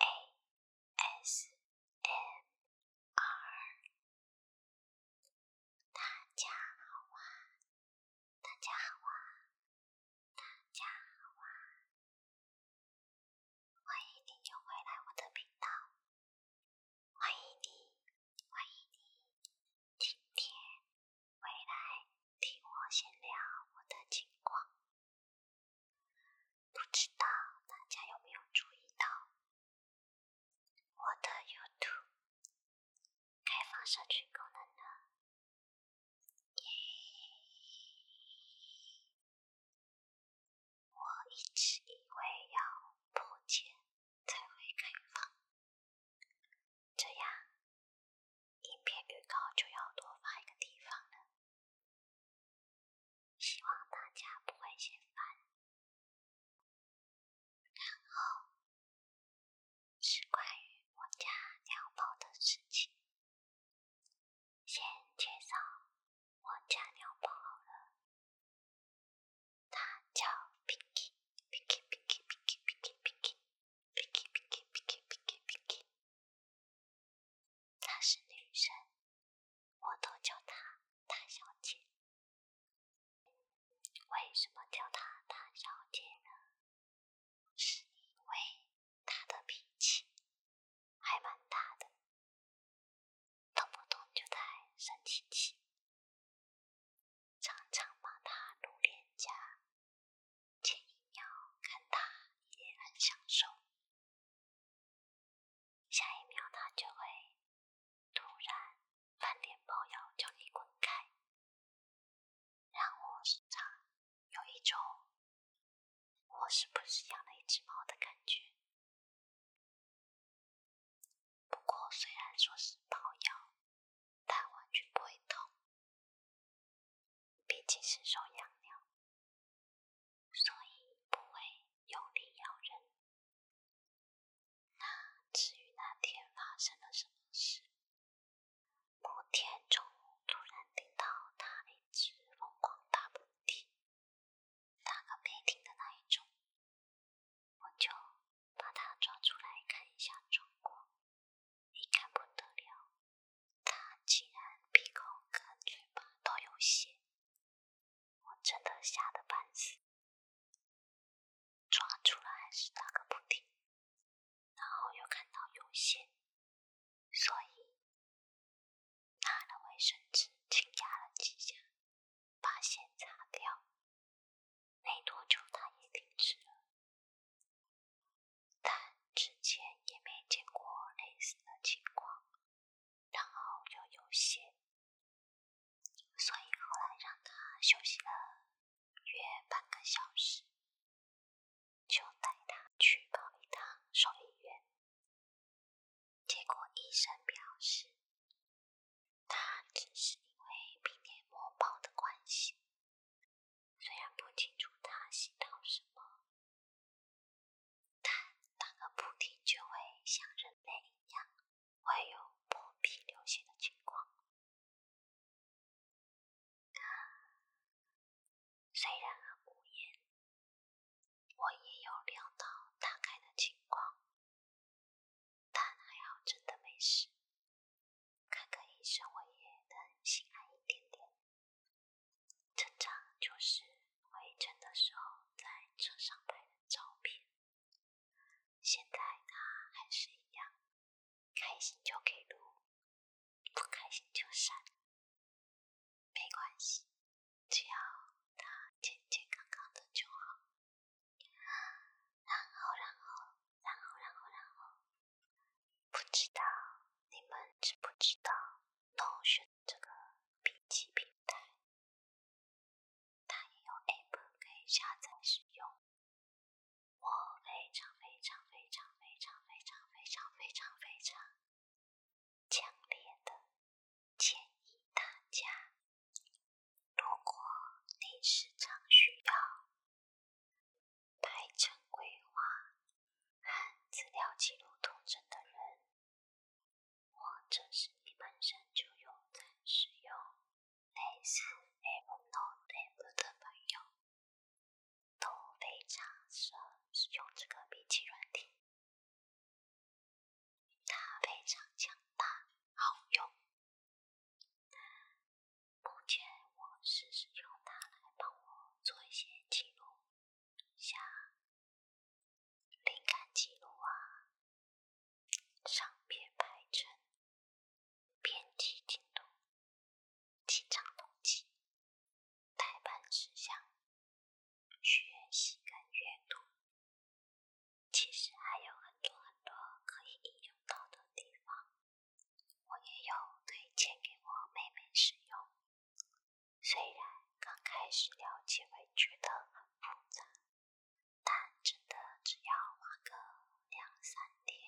A S M R，大家好啊！大家好啊！大家好啊！欢迎你就回来我的频道，欢迎你，欢迎你，今天回来听我闲聊我的情况。不知道大家有没有注意到我的 YouTube 开放社区功能呢？我一直以为要破解才会开放，这样影片预告就要多发一个地方了。希望大家不会嫌烦。然后是关于我家鸟宝的事情。先介绍我家鸟宝了，它叫皮皮，皮皮，皮皮，皮皮，皮皮，皮皮，皮皮，皮皮，皮皮，皮皮。她是女生，我都叫她大小姐。为什么叫她大小姐呢？是因为她的脾气还蛮大的，动不动就在生气气，常常把她怒脸颊，前一秒看她也很享受。下一秒，它就会突然翻脸包腰叫你滚开。让我时常有一种我是不是养了一只猫的感觉。不过，虽然说是抱腰，但完全不会痛，毕竟是手养鸟。所以不会用力咬人。那至于那天发生了什么事，某天中午突然听到他一直疯狂打喷嚏，打个不停的那一种，我就把他抓出来看一下状况，你看不得了，他竟然鼻孔跟嘴巴都有血。我真的吓得半死，抓住了还是打个不停，然后又看到有线，所以拿了卫生纸轻压了几下，把线擦掉。没多久他也停止了，但之前也没见过类似的情况。然后就有些，所以后来让他休息了约半个小时，就带他去跑一趟兽医院。结果医生表示，他只是因为鼻黏膜包的关系，虽然不清楚他吸到什么。但打个补丁就会像人类一样，会有破皮流血的情况。虽然很无言，我也有料到打开的情况，但还好真的没事。看看医生，我也能心安一点点。这张就是回程的时候在车上拍的照片。现在他还是一样，开心就给录，不开心就删，没关系，只要他健健康康的就好。然后，然后，然后，然后，然后，不知道你们知不知道？No 学这个笔记平台，它也有 App 可以下载使用。我非常非常非常非常非常非常非常非常强烈的建议大家，如果你时常需要排成规划、看资料记录、统整的人，或者是你本身就有在使用类似 Apple Note App 的朋友，都非常适合使用这个笔记软体。它非常强大好用，目前我是使用它来帮我做一些记录。下灵感记录啊，上片排程，编辑进度，几张统计，代办事项，学习跟阅读，其实还有很多很多可以利用到的地方，我也有推荐给我妹妹使用。虽然刚开始了解会觉得很复杂，但真的只要花个两三天，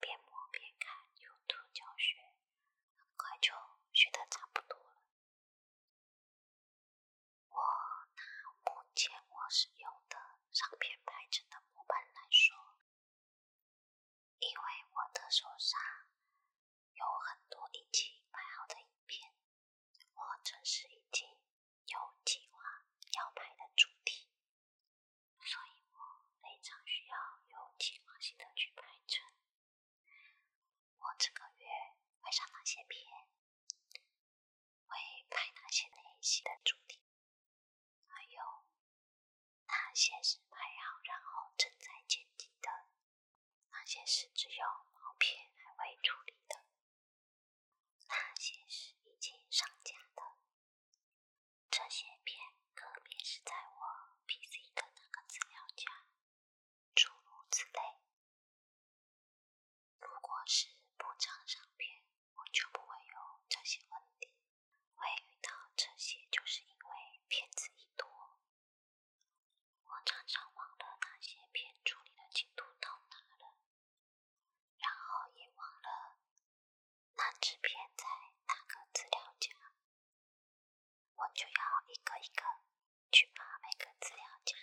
边摸边看 YouTube 教学，很快就学得差不多了。我拿目前我使用的上片拍成的模板来说，因为我的手上。有很多已经拍好的影片，或者是已经有计划要拍的主题，所以我非常需要有计划性的去拍成。我这个月会上哪些片？会拍哪些类型的主题？还有哪些是拍好然后正在剪辑的？那些是只有毛片还未处理的，那些是已经上架的，这些片特别是在我 PC 的那个资料夹，诸如此类。如果是不长上片，我就不会有这些问题，会遇到这些就是因为片子一多。我常常忘了那些片处理的进度到哪了，然后也忘了那支片在哪个资料夹，我就要一个一个去把每个资料夹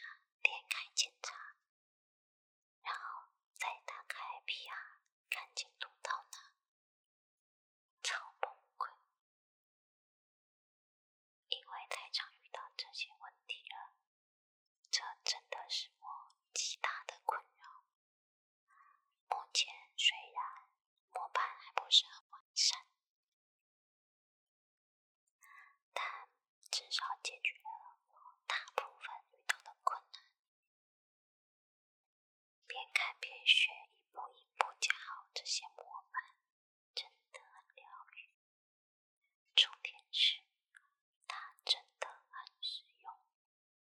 点开检查，然后再打开 PR 看进度到哪，超崩溃。因为太常遇到这些问题了，这真的是我极大的困扰。目前虽然模板还不是很完善，但至少解决了我大部分遇到的困难。边看边学，一步一步教好这些模板。真的很疗愈，重点是它真的很实用。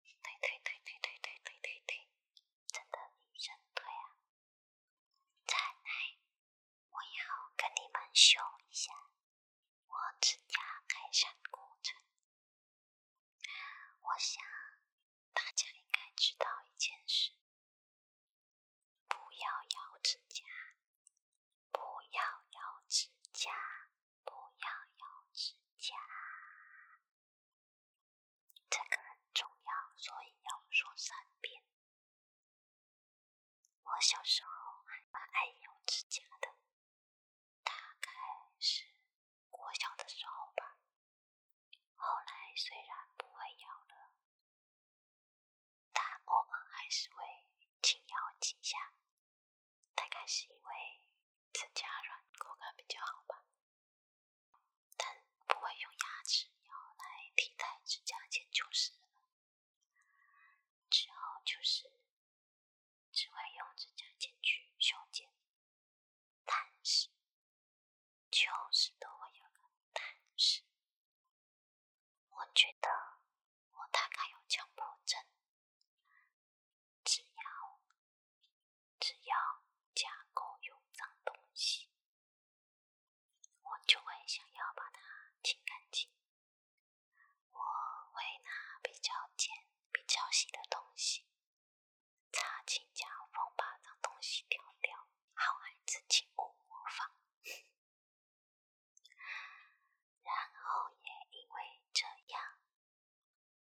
对对对对对对对对对，真的认真对啊！再来，我要跟你们秀一下我指甲改善过程。我想大家应该知道一件事。不要咬指甲，不要咬指甲，不要咬指甲。这个很重要，所以要说三遍。我小时候还蛮爱咬指甲的，大概是我小的时候吧。后来虽然不会咬了。但我们还是会轻咬几下，大概是因为指甲软，口感比较好吧。但不会用牙齿咬来替代指甲剪就是了。之后就是只会用指甲剪去修剪，但是，就是都会有个但是。我觉得我大概有强迫症，只要只要家狗有脏东西，我就会想要把它清干净。我会拿比较尖、比较细的东西擦清家缝把脏东西丢掉。好孩子，请勿模仿。然后也因为这样，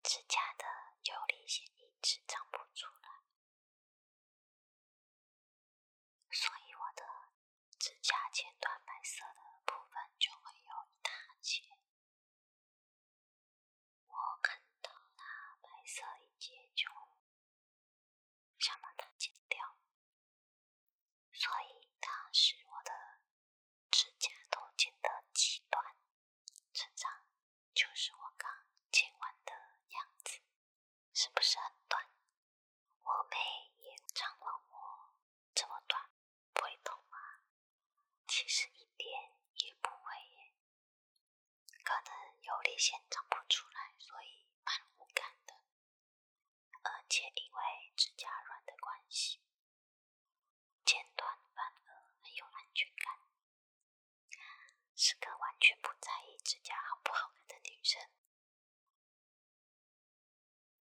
指甲的游离线一直长不出来，所以我的指甲剪断白色的部分就会有一大截。我看到那白色一截就。想把它剪掉，所以当时我的指甲都剪得极短。成长。就是我刚剪完的样子，是不是很短？我妹也长了我这么短，不会痛吗？其实一点也不会耶，可能游离线长不出来，所以蛮无感的。而且因为指甲软的关系，剪短反而很有安全感，是个完全不在意指甲好不好看的女生。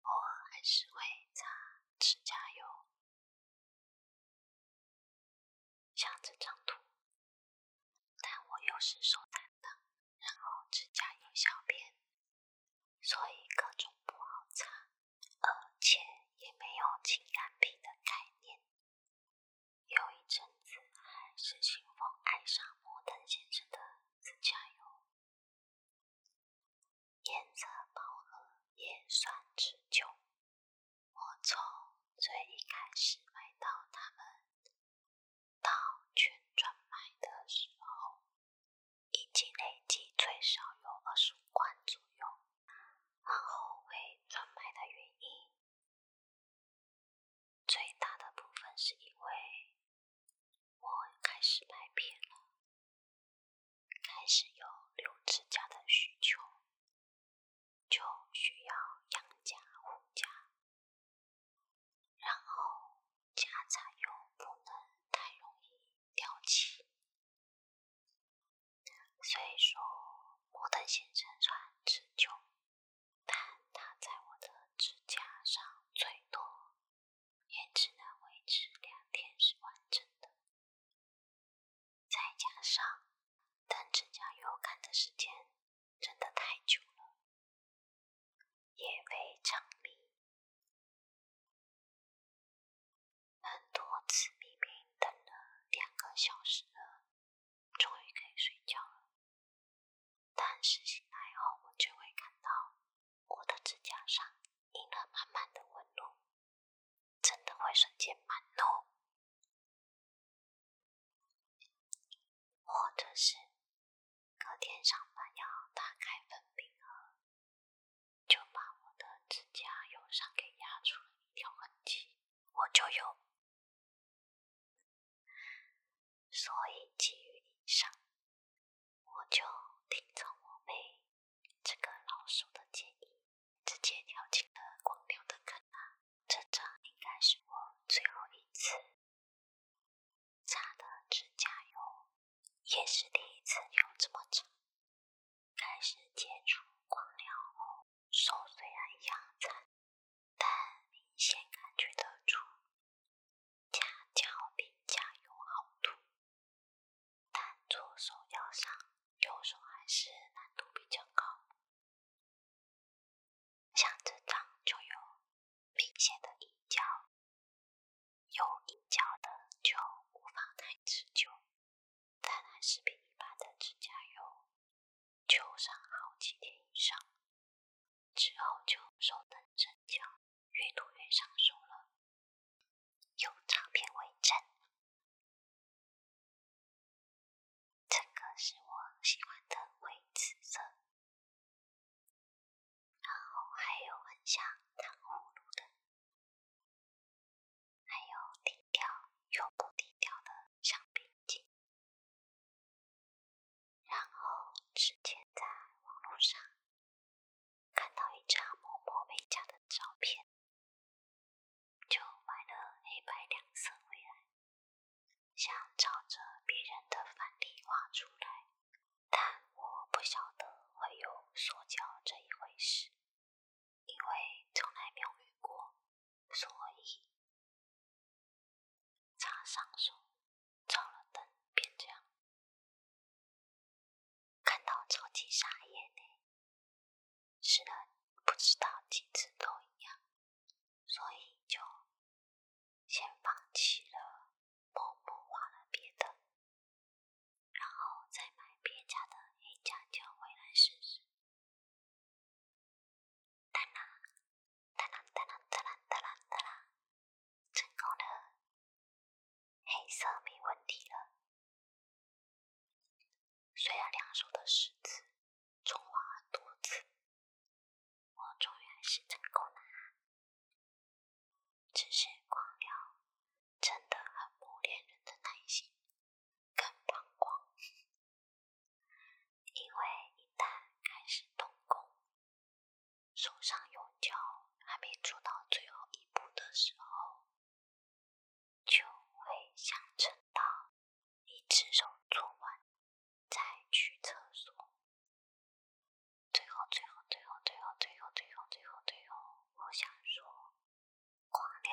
偶尔还是会擦指甲油，像这张图，但我又是手残。然后指甲油小便，所以各种不好擦，而且也没有情感皮的概念。有一阵子还是信风爱上摩登先生的指甲油，颜色饱和也算持久。我从最一开始买到他们。到全转卖的时候，已经累计最少有二十五万左右。然后为转卖的原因，最大的部分是因为我开始卖片了，开始有留指甲的需求，就需要养家护家。然后夹杂又不能太容易掉漆，所以说摩登先生穿持久，但他在我的指甲上最多也只能维持两天是完整的，再加上等指甲油干的时间真的太久了。也非常美。很多次明明等了两个小时了，终于可以睡觉了，但是醒来后我就会看到我的指甲上印了满满的纹路，真的会瞬间满足。或者是隔天上班要打开粉饼盒，就把我的指甲油上给压出了一条痕迹，我就有。所以基于以上，我就听从我妹这个老手的建议，直接跳进了光流的坑啊！这张应该是我最后一次。擦的指甲油也是第一次用这么长。开始接触光疗后，手虽然一样但明显感觉得出甲胶比甲油好涂。但左手要上，右手还是难度比较高，像这张就有。明显的硬胶，有硬胶的就无法太持久。再来，是比一般的指甲油，就上好几天以上，之后就手疼、生胶，越涂越上手了。有照片为证，这个是我喜欢的灰紫色。然后还有很像糖葫芦的，还有低调又不低调的橡皮筋。然后之前在网络上看到一张某某美甲的照片，就买了黑白两色回来，想照着别人的范例画出来。但我不晓得会有说教这一回事，因为从来没有遇过，所以插上手，照了灯，变这样，看到超级傻眼呢。是的，不知道几次都一样，所以就。先放弃了，默默画了别的，然后再买别家的黑加九回来试试。哒啦哒啦哒啦哒啦哒啦哒啦，成功了，黑色没问题了。虽然两手的石子，重画多次。我终于还是成功了啊！只是光疗真的很磨练人的耐心跟膀胱，因为一旦开始动工，手上用胶还没做到最后一步的时候，就会想趁早一只手做完再去厕所。最后，最后，最后，最后，最后，最后，最后，最后，我想说，光疗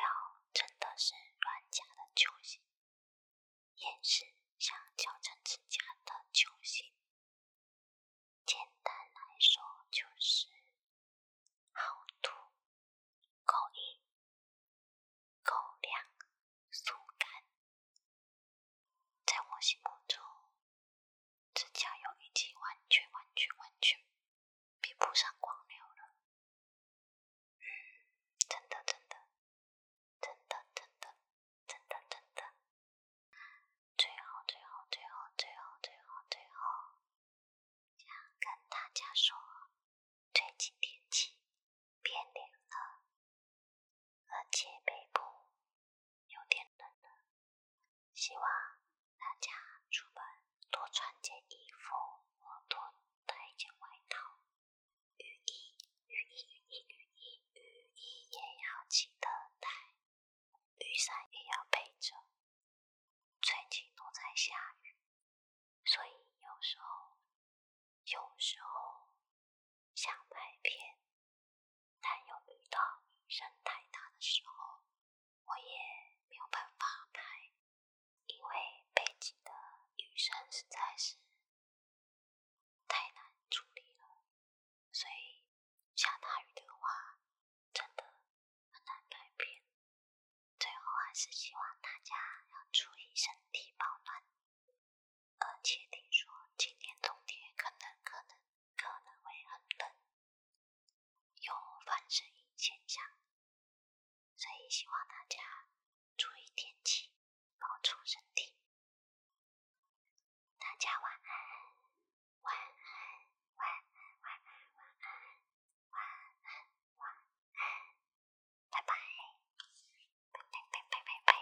真的是软甲的救星，也是想矫正指甲的救星。简单来说，就是好涂、口硬、口粮、速干。在我心目中，这家有已经完全、完全、完全比不上光流了。真的、真的、真的、真的、真的、真的，最后、最后、最后、最后、最后、最后，想跟大家说，最近天气变冷了。而且背部有点冷了，希望大家出门多穿件衣服，或多带一件外套。雨衣、雨衣、雨衣、雨衣、雨衣也要记得带，雨伞也要背着。最近都在下雨，所以有时候，有时候。想拍片，但又遇到雨声太大的时候，我也没有办法拍，因为背景的雨声实在是太难处理了。所以下大雨的话，真的很难拍片。最后还是希望大家要注意身体保暖，而且听说今年冬天可能可能。可能会很冷，有反声音现象，所以希望大家注意天气，保重身体。大家晚安，晚安，晚安，晚安，晚安，晚安，晚安，拜，拜拜，拜拜，拜拜。